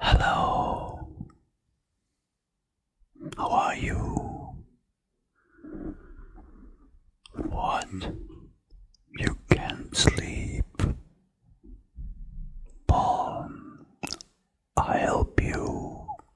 Hello. How are you? What? You can't sleep. Paul, I help you.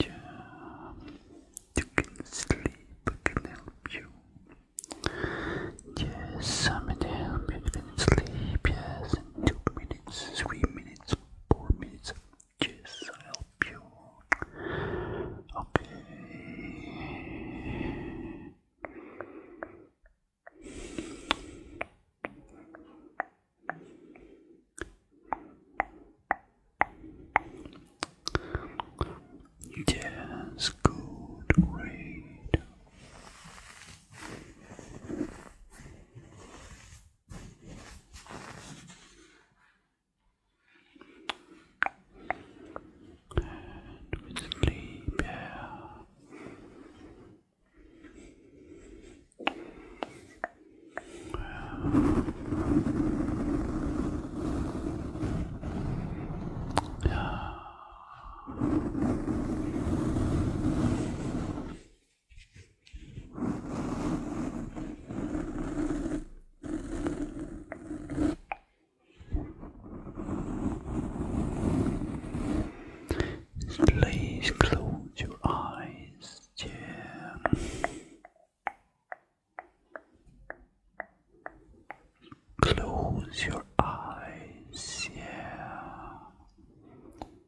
Yeah, you can sleep, I can help you. Yes, I'm going you. can sleep, yes, two minutes, three minutes, for me. Yes, I help you. Okay. Yes, good, great. And we sleep, yeah. Yeah. Please close your eyes, yeah. Close your eyes, yeah.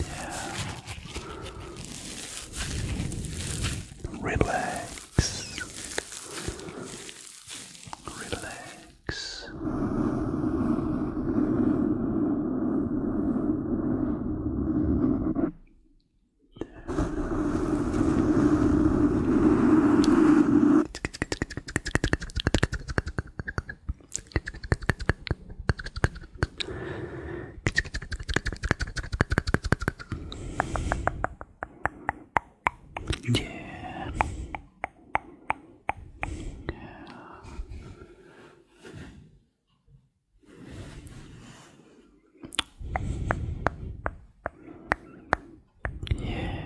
Yeah. Relax. Relax. Yeah. Yeah.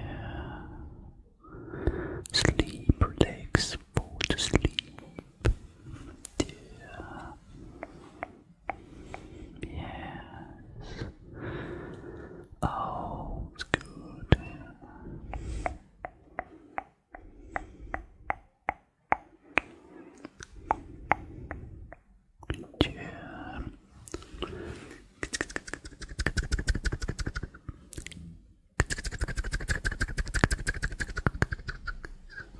Sleep, relax, fall to sleep. Yeah. Yes. Oh, it's good. Yeah.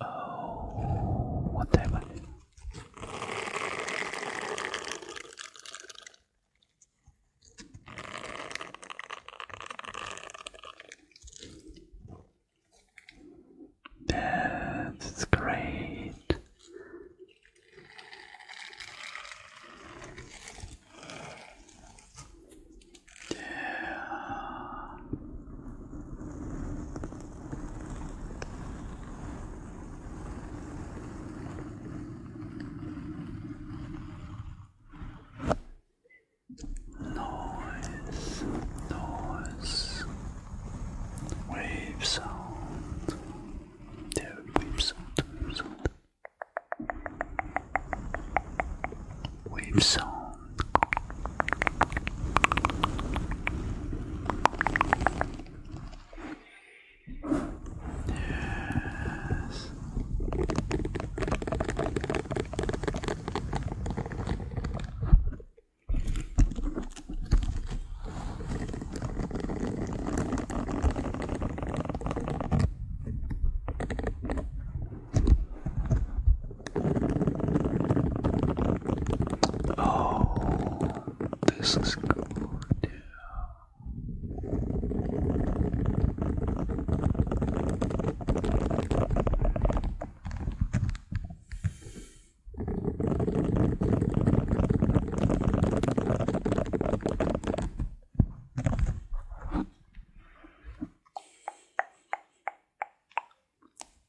Oh, what That's great. Yeah. Noise, noise, wave sound, yeah, wave sound. We've sown yes. Oh, this is good.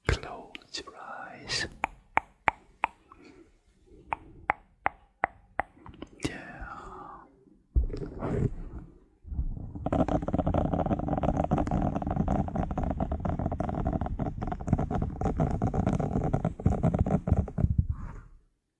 Close your eyes. Yeah.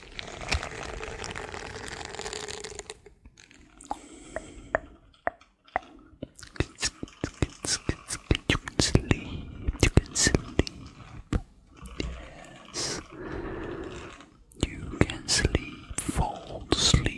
You can sleep, you can sleep. Yes. You can sleep, fall asleep.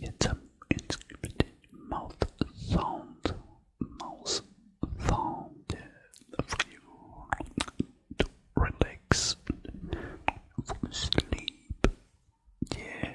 It's a inscripted mouth sound, mouth sound for you to relax, for sleep. Yeah.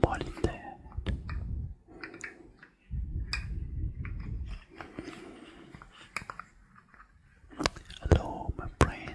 What is that? Hello, my friend.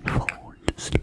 and fall asleep.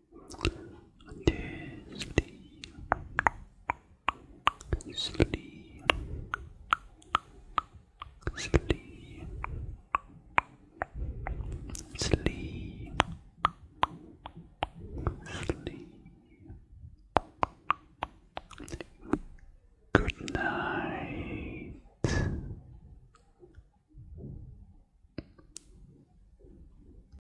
Just sleep, sleep, sleep, sleep, sleep. Good night.